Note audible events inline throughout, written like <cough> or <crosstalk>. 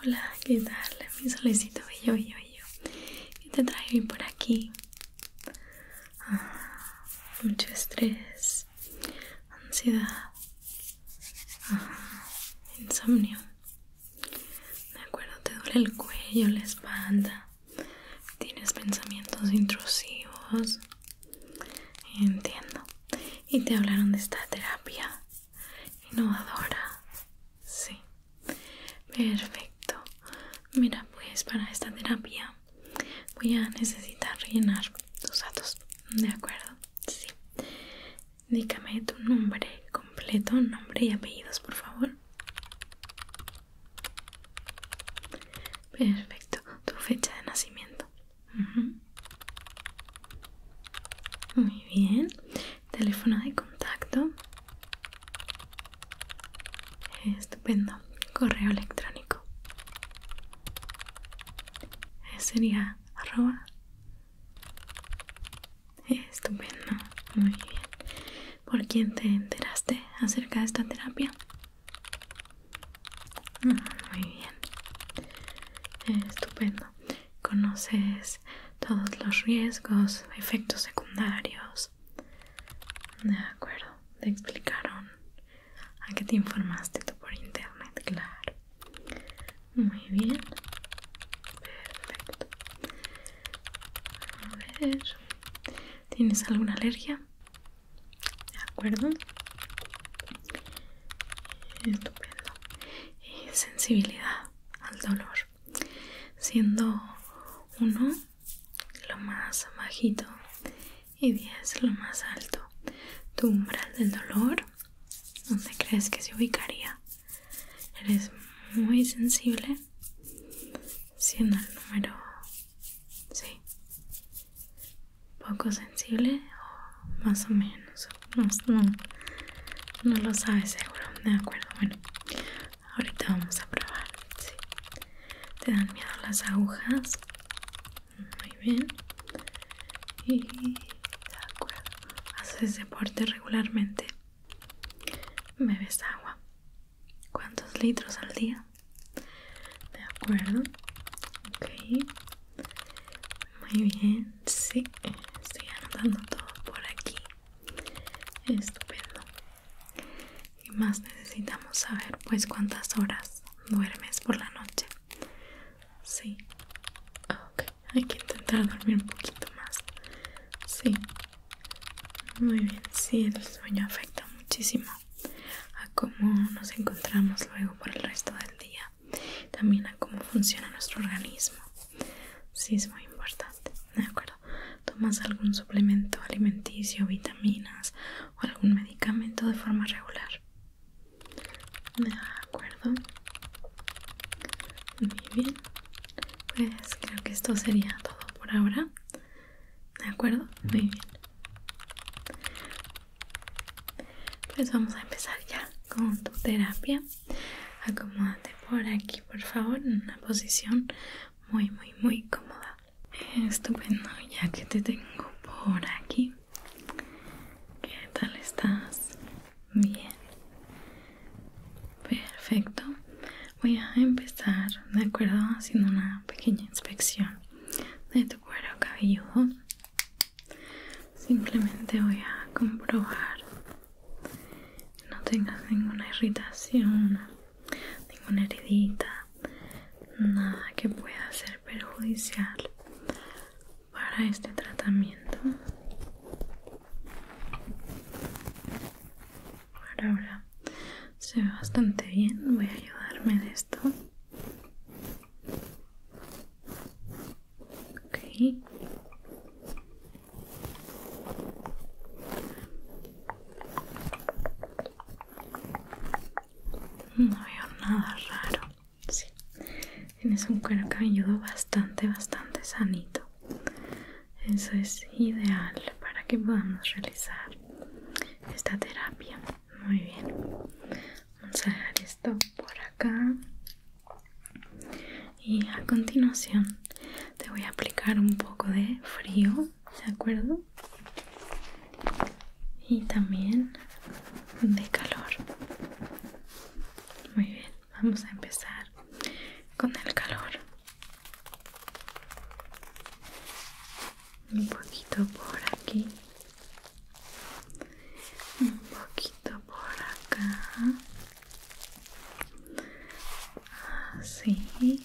Hola, ¿qué tal? Mi solicito yo, yo, yo. te traigo por aquí? Ah, mucho estrés, ansiedad, ah, insomnio. De acuerdo, te duele el cuello, la espalda. Tienes pensamientos intrusivos. Entiendo. Y te hablaron de esta terapia innovadora. Sí. Perfecto. Mira, pues para esta terapia voy a necesitar rellenar tus datos. ¿De acuerdo? Sí. Dígame tu nombre completo, nombre y apellidos, por favor. Perfecto, tu fecha de nacimiento. Muy bien. Teléfono de contacto. Estupendo. Correo electrónico. Sería arroba. Estupendo. Muy bien. ¿Por quién te enteraste acerca de esta terapia? Muy bien. Estupendo. Conoces todos los riesgos, efectos secundarios. De acuerdo. Te explicaron a qué te informaste tú por internet, claro. Muy bien. Perfecto. A ver. ¿Tienes alguna alergia? de acuerdo estupendo y eh, sensibilidad al dolor siendo uno lo más bajito y 10 lo más alto tu umbral del dolor donde crees que se ubicaría eres muy sensible siendo el número sí poco sensible o más o menos no, no lo sabes seguro de acuerdo bueno ahorita vamos a probar ¿sí? te dan miedo las agujas muy bien y de acuerdo haces deporte regularmente bebes agua cuántos litros al día de acuerdo ok muy bien sí estoy anotando todo por aquí estupendo y más necesitamos saber pues cuántas horas duermes por la noche sí ah, ok hay que intentar dormir un poquito más sí muy bien sí el sueño afecta muchísimo a cómo nos encontramos luego por el resto del día, también a cómo funciona nuestro organismo. Sí, es muy importante, ¿de acuerdo? ¿Tomas algún suplemento alimenticio, vitaminas o algún medicamento de forma regular? De acuerdo. Muy bien. Pues creo que esto sería todo por ahora. ¿De acuerdo? Muy bien. Pues vamos a empezar ya con tu terapia. Acomódate por aquí, por favor, en una posición muy, muy, muy cómoda. Estupendo, ya que te tengo por aquí. ¿Qué tal estás? Bien. Perfecto. Voy a empezar, ¿de acuerdo? Haciendo una pequeña inspección de tu cuero cabello. simplemente voy a comprobar que no tengas ninguna irritación ninguna heridita nada que pueda ser perjudicial para este tratamiento por ahora se ve bastante bien voy a ayudarme de esto no veo nada raro. Sí. Tienes un cuero cabelludo bastante, bastante sanito. Eso es ideal para que podamos realizar esta terapia. Muy bien. Vamos a dejar esto por acá. Y a continuación te voy a aplicar un poco de frío, ¿de acuerdo? Y también de calor. Muy bien, vamos a empezar con el calor. Un poquito por aquí un poquito por acá así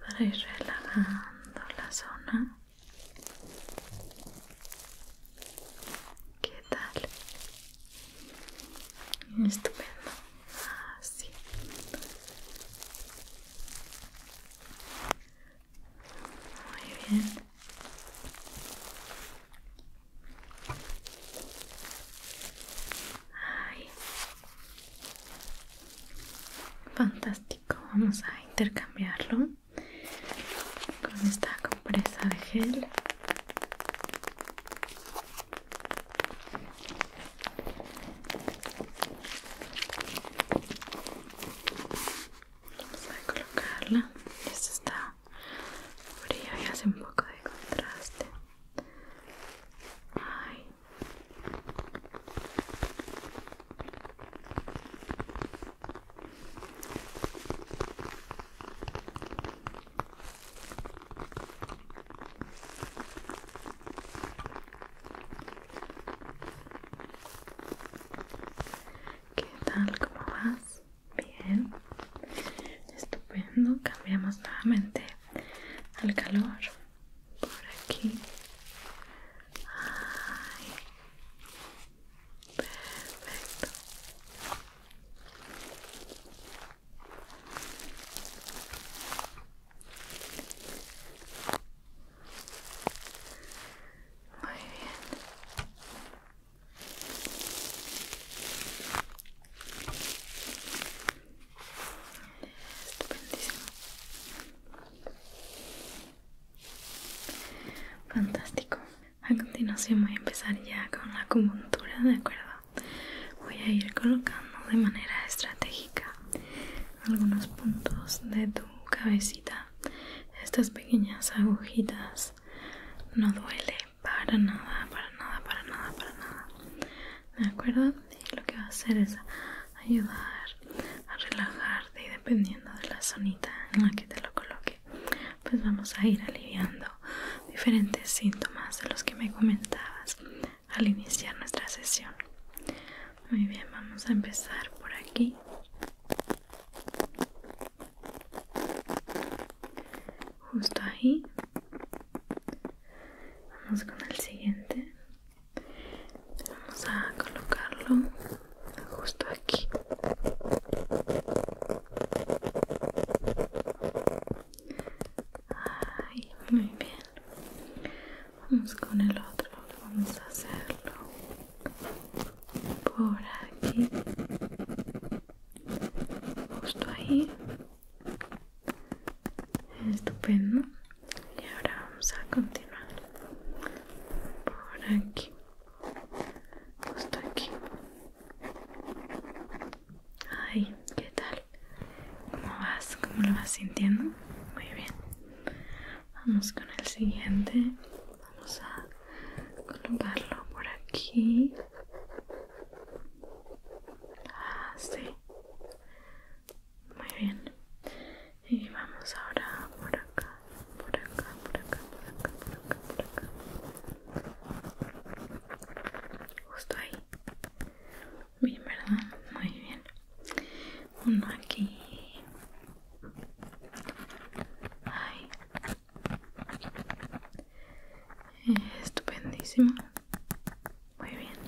para ir relajando la zona ¿Qué tal? Estupendo. Así. Muy bien. Fantástico. Vamos a intercambiarlo con esta compresa de gel. Vamos a colocarla. Esto está fría y hace un poco de contraste. ¿Qué tal? ¿Cómo vas? Bien. Estupendo. Cambiamos nuevamente al calor. Por aquí. Muy bien. Estupendísimo. Fantástico. A continuación voy a empezar ya con la acupuntura, ¿de acuerdo? Voy a ir colocando de manera estratégica algunos puntos de tu cabecita estas pequeñas agujitas no duele para nada para nada para nada para nada de acuerdo y lo que va a hacer es ayudar a relajarte y dependiendo de la zonita en la que te lo coloque pues vamos a ir aliviando diferentes síntomas de los que me comentabas al iniciar nuestra sesión muy bien, vamos a empezar por aquí. Justo ahí. Vamos con el siguiente. Vamos a colocarlo justo aquí. muy bien. Vamos con el otro, vamos a hacerlo por aquí, justo ahí. Estupendo. Y ahora vamos a continuar por aquí, justo aquí. Ay, ¿qué tal? ¿Cómo vas? ¿Cómo lo vas sintiendo? Muy bien. Vamos con el siguiente. Vamos a colocarlo por aquí. Así. Ah, Muy bien. Y vamos ahora por acá, por acá, por acá, por acá, por acá, por acá. Justo ahí. Bien, ¿verdad? Muy bien uno aquí. Ay. Estupendísimo. Muy bien.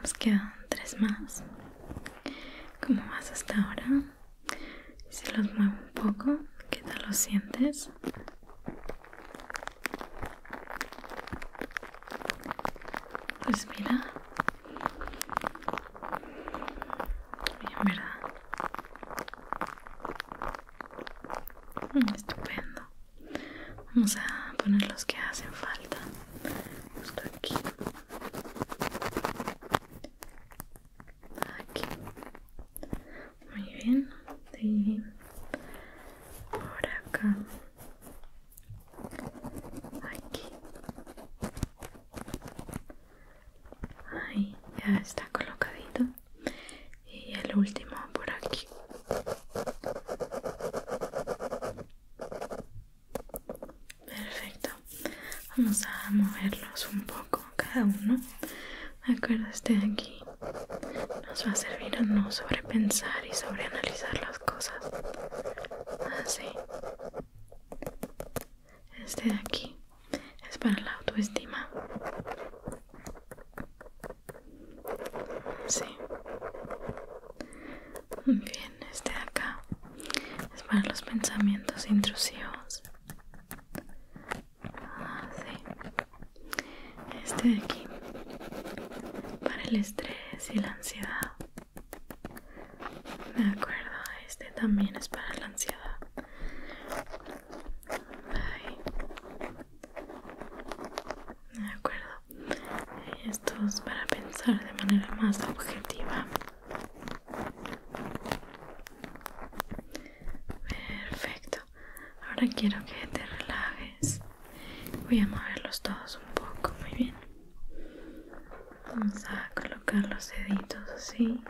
Nos quedan tres más. como vas hasta ahora? Si los muevo un poco, ¿qué tal los sientes? Pues mira, Bien, ¿verdad? Mm, estupendo. Vamos a poner los que hacen falta. Justo aquí. Aquí. Muy bien. Y Por acá. Aquí. Ahí ya está colocadito. Y el último por aquí. Perfecto. Vamos a moverlos un poco cada uno. este de aquí. Nos va a servir a no sobrepensar y sobreanalizar las cosas. Así. Ah, este de aquí es para la autoestima. Sí. Bien, este de acá es para los pensamientos intrusivos. Ah, sí. Este de aquí para el estrés y la ansiedad. De acuerdo, este también es para la ansiedad. De acuerdo. Esto es para pensar de manera más objetiva. Perfecto. Ahora quiero que te relajes. Voy a moverlos todos un poco, muy bien. Vamos a colocar los deditos así. Sí.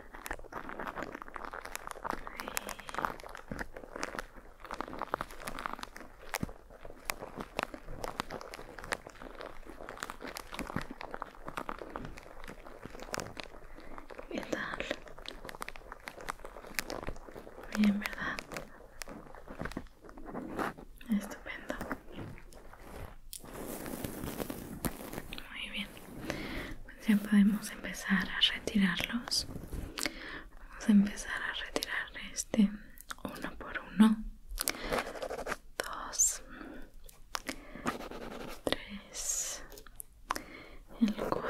tal? Bien, ¿verdad? Estupendo. Muy bien, pues ya podemos empezar a retirarlos. Vamos a empezar a retirar este uno por uno. Dos, tres, el cuatro.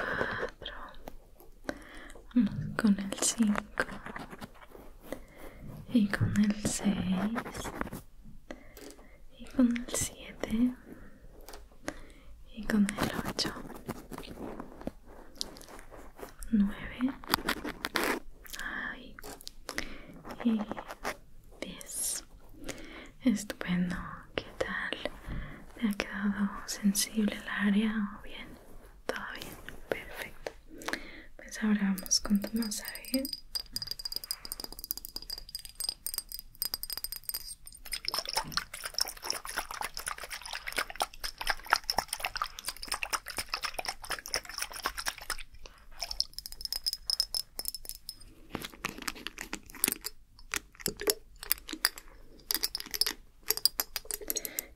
con el cinco y con el seis y con el 7 y con el 8 9 y 10 estupendo ¿qué tal? ¿te ha quedado sensible el área o bien? todo bien perfecto pues ahora vamos con tu masaje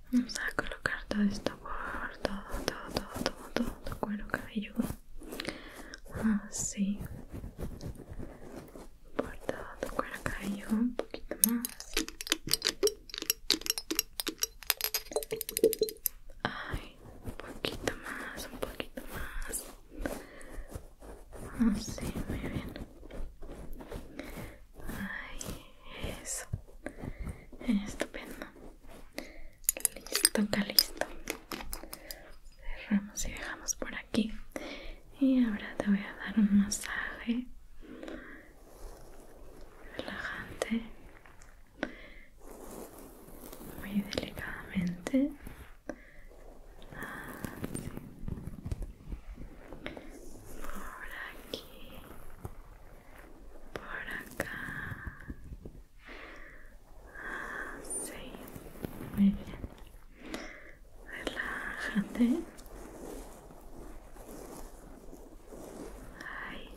Vamos a colocar todo esto por todo, todo, todo, todo, todo, todo cuero cabelludo así por todo tu cuello un poquito más Ay, un poquito más, un poquito más Así, muy bien Ay, eso Estupendo Listo, toca listo. Cerramos y dejamos por aquí. Y ahora te voy a dar un masaje relajante, muy delicadamente. Por aquí, por acá, sí muy bien. Relájate. Ay,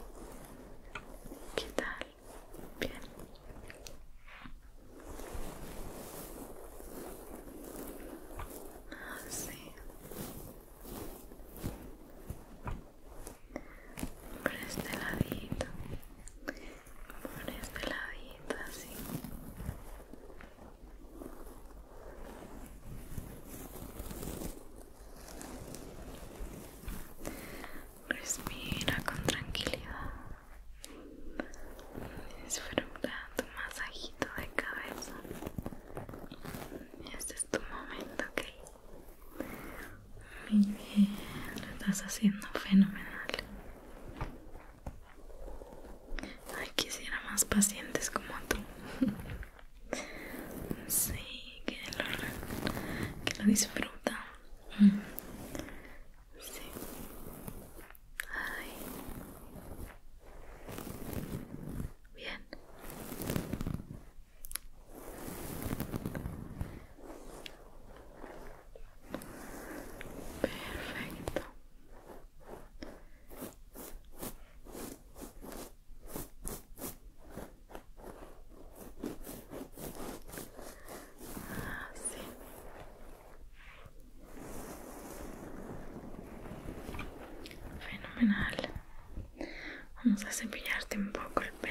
¿qué tal? Bien. Así. Ah, Por este ladito por este ladito así respira con tranquilidad disfruta tu masajito de cabeza este es tu momento ok? Muy bien, lo estás haciendo fenomenal. Ay, quisiera más pacientes como tú. Sí, que lo, que lo disfruta. Sí. Ay. Bien. Perfecto. Ah, sí. Fenomenal. Vamos a cepillarte un poco el pelo.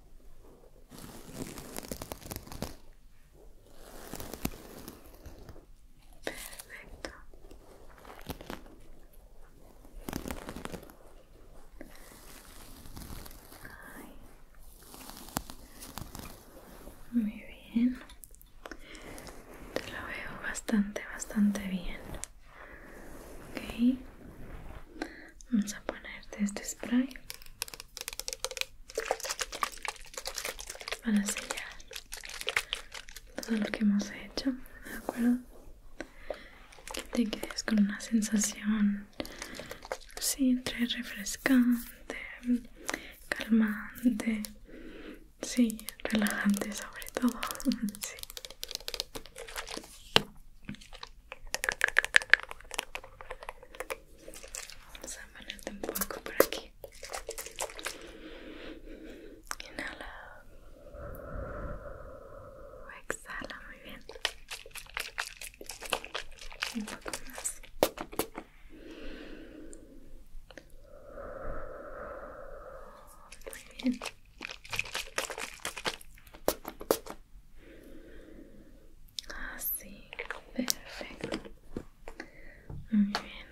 Perfecto. Muy bien. Te lo veo bastante, bastante bien. Ok. Vamos a ponerte este spray para sellar todo lo que hemos hecho, ¿de acuerdo? Que te quedes con una sensación siempre refrescante, calmante, sí, relajante sobre todo, <laughs> sí. Vamos a ponerte un poco por aquí. Inhala. Exhala, muy bien. Un poco más. Muy bien. Así, ah, perfecto. Muy bien.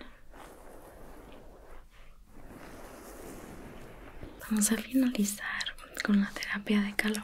Vamos a finalizar con la terapia de calor.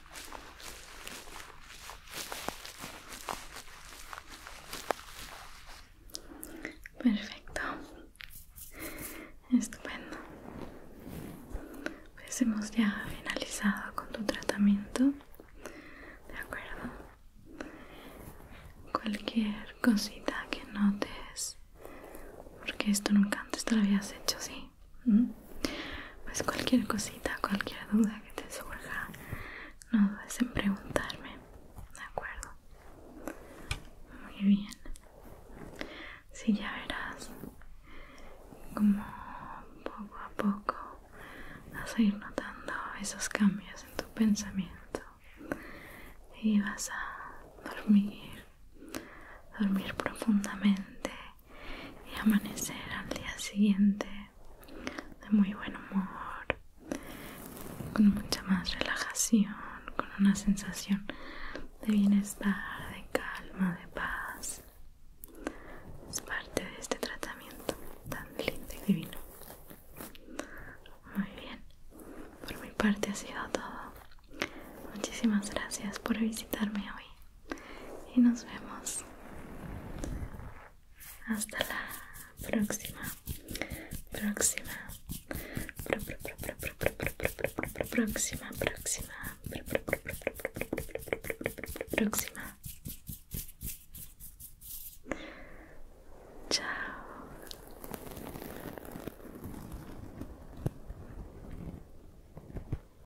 Perfecto. Estupendo. Pues hemos ya finalizado con tu tratamiento. De acuerdo. Cualquier cosita que notes, porque esto nunca antes te lo habías hecho, ¿sí? ¿Mm? Pues cualquier cosita, cualquier duda que te surja, no dudes en preguntarme, ¿de acuerdo? Muy bien. Sí, ya verás como poco a poco vas a ir notando esos cambios en tu pensamiento y vas a dormir, dormir profundamente y amanecer al día siguiente de muy buen humor, con mucha más relajación, con una sensación de bienestar, de calma, de paz. Es parte de este tratamiento tan lindo y divino. Muy bien, por mi parte ha sido todo. Muchísimas gracias por visitarme hoy y nos vemos hasta la próxima próxima Próxima. próxima próxima próxima chao